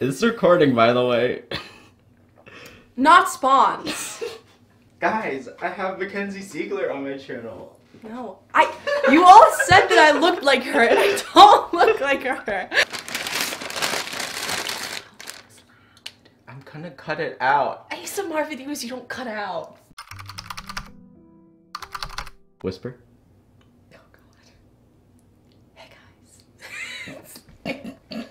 it's recording, by the way. Not spawns. Guys, I have Mackenzie Siegler on my channel. No, I. You all said that I looked like her, and I don't look like her. I'm gonna cut it out. I need some more videos you don't cut out. Whisper. Oh Hey guys.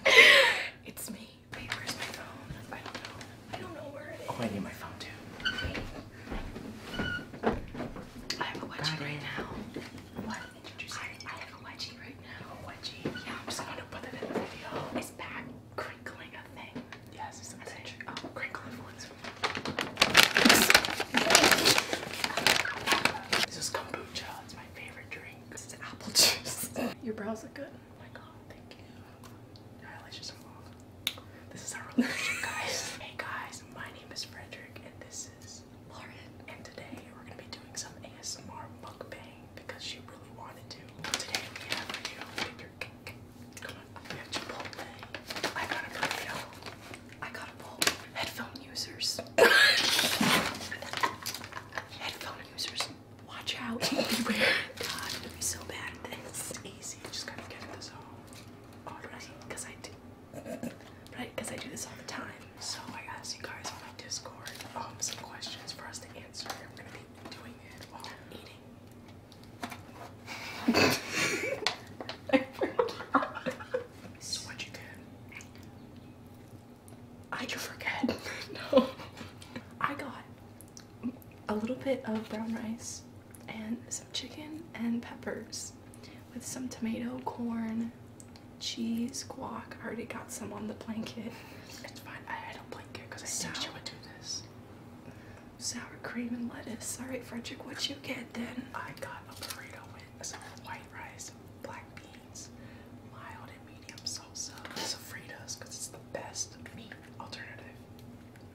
it's me. where's my phone? I don't know. I don't know where Oh, I need my phone too. I have a wedgie right now. What? I, have a wedgie right now. A wedgie? Yeah, I'm just gonna put it in the video. Is that crinkling a thing? Yes, it's a Oh, crinkling voice. This is kombucha. It's my favorite drink. This is apple juice. Your brows look good. Oh my god, thank you. Your This is our relationship, guys. hey guys, my name is Frederick and this is Lauren. And today we're gonna be doing some ASMR mukbang because she really wanted to. Today we have you know, Come on, we have Chipotle. I got a burrito. I gotta pull headphone users. headphone users, watch out. Beware. God, I'm gonna be so bad at It's easy. Just gotta get this all. Alright, because I do. Right, because I do this all the time. So I asked you guys on my Discord um, some questions for us to answer. I'm gonna be doing it while I'm eating. So what you get? I just forget. no. I got a little bit of brown rice and some chicken and peppers with some tomato, corn, cheese, guac. I already got some on the blanket. It's fine. I had a blanket because I Sour. think she would do this. Sour cream and lettuce. All right, Frederick, what you get then? I got a burrito it's white rice, black beans, mild and medium salsa, sofritas, because it's the best meat alternative,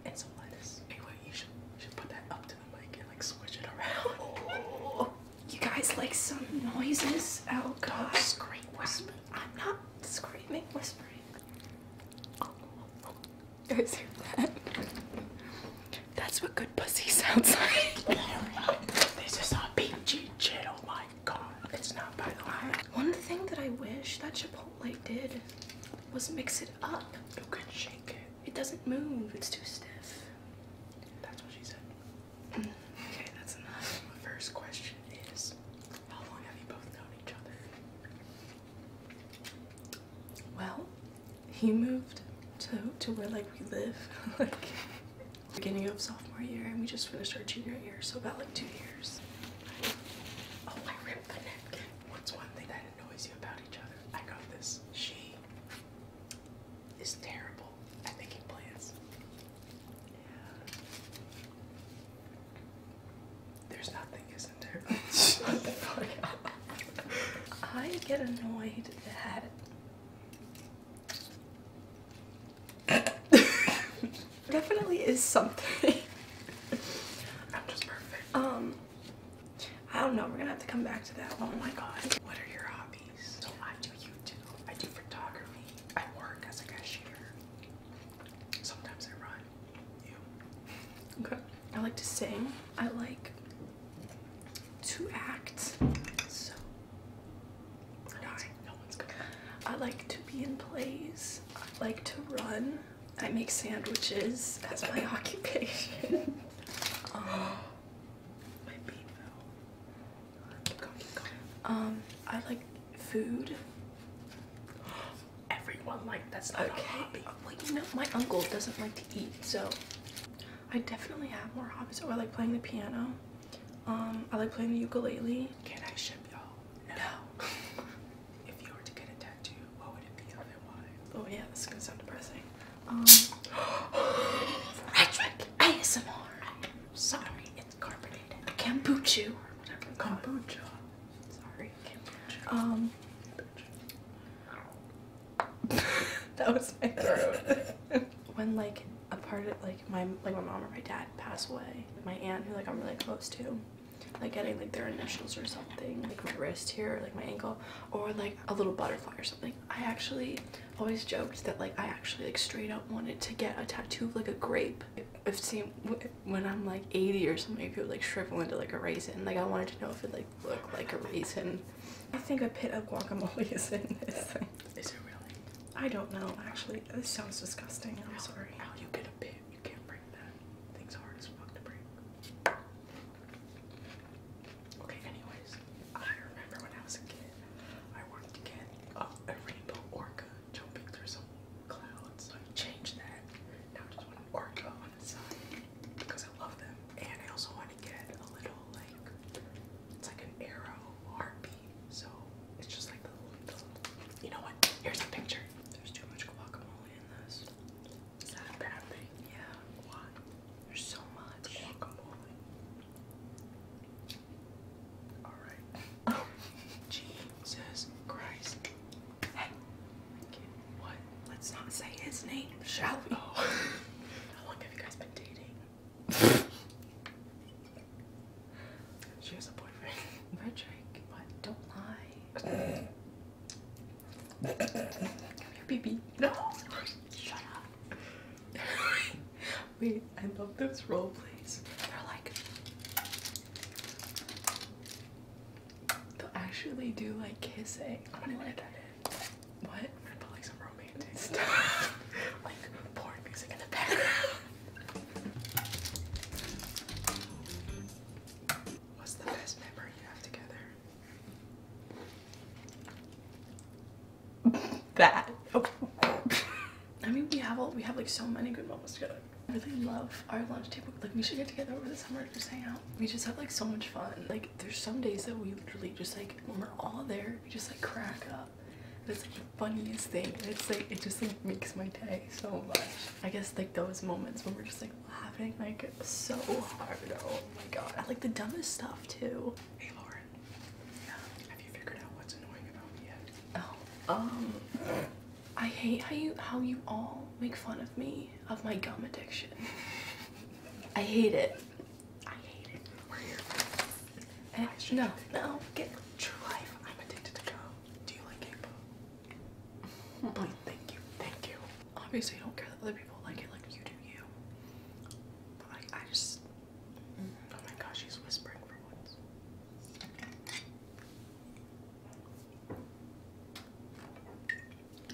and some lettuce. Anyway, you should, should put that up to the mic and like switch it around. you guys like some noises? Oh god. Don't I'm not screaming, whispering. Oh, oh, that? That's what good pussy sounds like. this is all peachy shit. Oh my god. It's not by the way, One thing that I wish that Chipotle did was mix it up. You can shake it. It doesn't move. It's too stiff. That's what she said. Mm. Okay, that's enough. My first question is, how long have you both known each other? Well, he moved to, to where like we live like beginning of sophomore year and we just finished our junior year so about like two years oh i ripped the napkin what's one thing that annoys you about each other i got this she is terrible at making plans yeah. there's nothing isn't there I get annoyed that Definitely is something. I'm just perfect. Um, I don't know. We're gonna have to come back to that. Oh my god. What are your hobbies? So I do YouTube. I do photography. I work as a cashier. Sometimes I run. You. Okay. I like to sing. I like to act. no one's, no I like to be in plays. I like to run. I make sandwiches as my occupation. um, my bean Um, I like food. Everyone like that's not okay. a hobby. Well, you know, my uncle doesn't like to eat, so I definitely have more hobbies. Oh, I like playing the piano. Um, I like playing the ukulele. Can I ship y'all? No. if you were to get a tattoo, what would it be Oh yeah, this is gonna sound depressing. Um, Frederick ASMR. I'm sorry, it's carbonated. Kombucha. Kombucha. Sorry, kombucha. Um, that was my when like a part of like my like my mom or my dad pass away my aunt who like i'm really close to like getting like their initials or something like my wrist here or like my ankle or like a little butterfly or something i actually always joked that like i actually like straight up wanted to get a tattoo of like a grape i've when i'm like 80 or something if people like shrivel into like a raisin like i wanted to know if it like looked like a raisin I think a pit of guacamole is in this thing. Is it really? I don't know, actually. This sounds disgusting. I'm sorry. How you get a pit? You can't break that. Things are hard as fuck to break. Okay, anyways, I remember when I was a kid, I wanted to get a rainbow orca jumping through some clouds. I changed that. Now I just want an orca on the side because I love them. And I also want get a little like it's like an arrow heartbeat, so it's just like the little. You know what? Here's a picture. There's too much guacamole in this. Is that a bad thing? Yeah. Why? There's so much guacamole. All right. Jesus Christ. Hey. What? Let's not say his name, shall Oh. How long have you guys been dating? she has a boyfriend. Frederick, what? Don't lie. baby. No! Shut up. Wait, I love those role plays. They're like, they'll actually do like kissing. I'm gonna write that what? I put like some romantic stuff. like porn music in the background. What's the best memory you have together? That. I mean, we have all we have like so many good moments together. I really love our lunch table. Like, we should get together over the summer and just hang out. We just have like so much fun. Like, there's some days that we literally just like when we're all there, we just like crack up. It's like the funniest thing. It's like it just like makes my day so much. I guess like those moments when we're just like laughing like so hard. Oh my god. I like the dumbest stuff too. Hey Lauren. Yeah. Have you figured out what's annoying about me yet? Oh. Um I hate how you how you all make fun of me of my gum addiction. I hate it. I no, no, get true life. I'm addicted to go. Do you like k hmm. thank you, thank you. Obviously, I don't care that other people like it like you do you. But I just, mm, oh my gosh, she's whispering for once.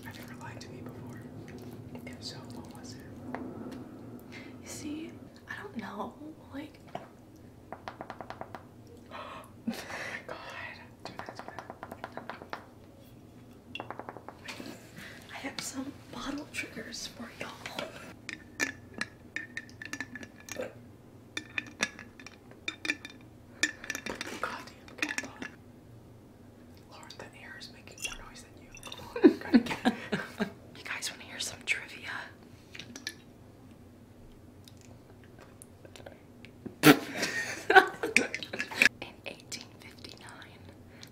I never lied to me before. If so, what was you see, I don't know, like. Oh my god. I have some bottle triggers for y'all. Goddamn cat bottle. you. guys want to hear some trivia? In 1859,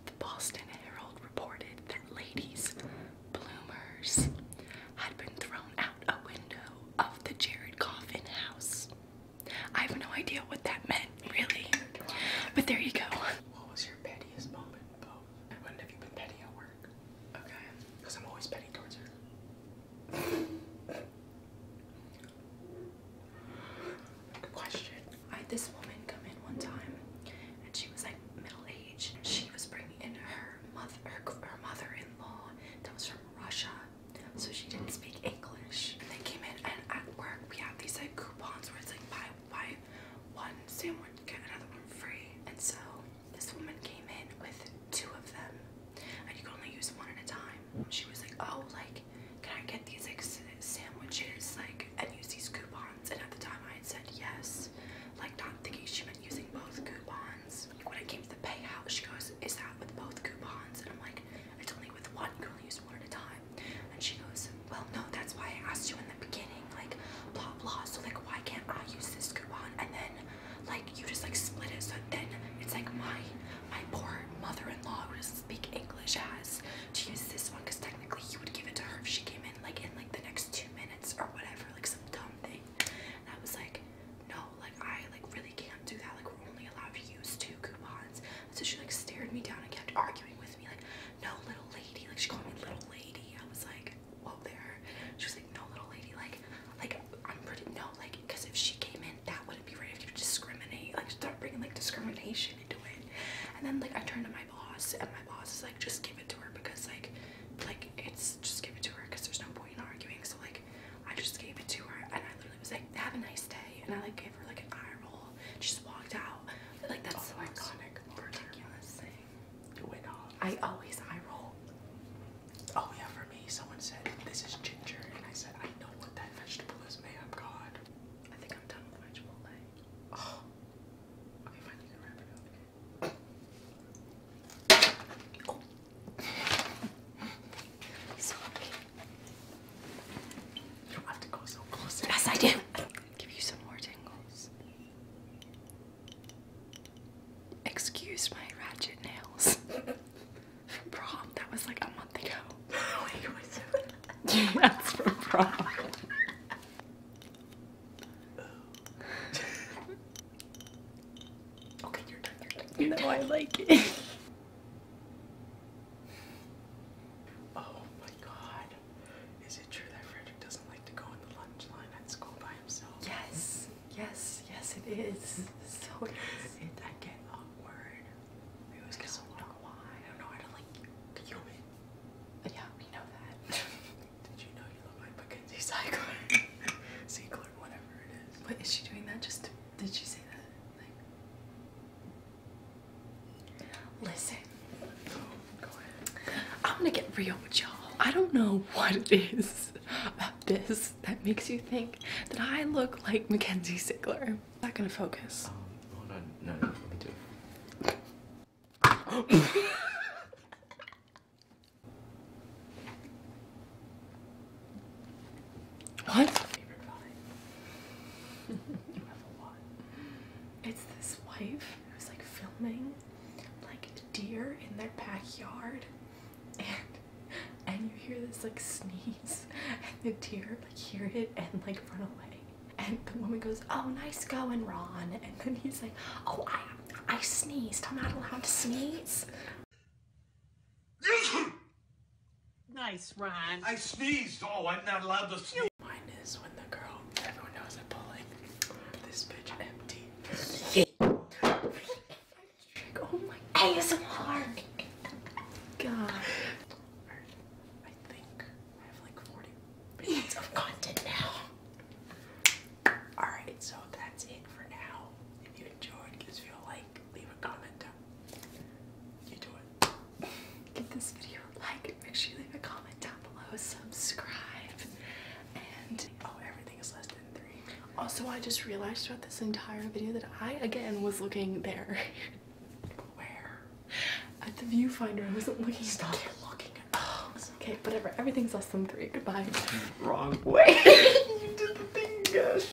the Boston Herald reported that ladies, bloomers, had been thrown out a window of the Jared Coffin house. I have no idea what that meant, really. But there you go pettiest moment, Bo? When have you been petty at work? Okay, because I'm always petty towards her. Question. I had this woman come in one time, and she was like middle aged. She was bringing in her mother, her mother-in-law that was from Russia, so she didn't speak English. And they came in, and at work we have these like coupons where it's like buy buy one sandwich, get another one free. And so this woman came in with two of them, and you could only use one at a time. She was like, "Oh, like, can I get these like sandwiches, like, and use these coupons?" And at the time, I had said yes, like, not thinking she meant using both coupons. When it came to the payout, she goes, "Is that with both coupons?" And I'm like, "It's only with one. You can only use one at a time." And she goes, well, no, that's why I asked you in the beginning, like, blah, blah. So, like, why can't I use this coupon? And then, like, you just, like, split it. So then it's, like, my, my poor mother-in-law who doesn't speak English has to use this one because technically you would give it to her if she came in, like, in, like, the next two minutes or whatever, like, some dumb thing. And I was like, no, like, I, like, really can't do that. Like, we're only allowed to use two coupons. So she, like, stared me down and kept arguing with me, like, no little lady. Like she called me little lady. I was like, whoa there. She was like, no little lady. Like, like I'm pretty no like because if she came in, that wouldn't be right. If you discriminate, like start bringing like discrimination into it. And then like I turned to my boss, and my boss is like, just give it to her because like, like it's just give it to her because there's no point in arguing. So like, I just gave it to her, and I literally was like, have a nice day, and I like gave her like an eye roll. She just walked out. Like that's oh so iconic. I always eye roll. Oh yeah, for me, someone said this is ginger, and I said I know what that vegetable is. made Man, God. I think I'm done with my Oh. Okay, fine. You can wrap it up. Oh. Sorry. You don't have to go so close. Yes, I do give you some more tingles. Excuse my ratchet nails from prom. That was like a month ago. Wait, That's from prom. okay, you're done. You're I like it. Oh my god. Is it true that Frederick doesn't like to go in the lunch line at school by himself? Yes, yes, yes, it is. so it is. It, I get awkward. We always I get so long. Why? I don't know. I don't like human. Yeah, we know that. Did you know you look like Mackenzie Cycler? Ziegler, whatever it is. What is she doing that just did she say that? Listen, I'm gonna get real with y'all. I don't know what it is about this that makes you think that I look like Mackenzie Sigler. Not gonna focus. Um, what? It's this wife. It was like filming like deer in their backyard and and you hear this like sneeze and the deer like hear it and like run away and the woman goes oh nice going ron and then he's like oh i i sneezed i'm not allowed to sneeze nice ron i sneezed oh i'm not allowed to sneeze Mine is when the girl, everyone knows I'm pulling this bitch empty. Oh god. Alright, so that's it for now. If you enjoyed, give us a like, leave a comment. You do it give this video a like. Make sure you leave a comment down below. Subscribe. And oh, everything is less than three. Also, I just realized throughout this entire video that I again was looking there. Where? At the viewfinder. I wasn't looking. Stop looking at Okay, whatever. Everything's less than three. Goodbye. Wrong way. you did the thing, gosh.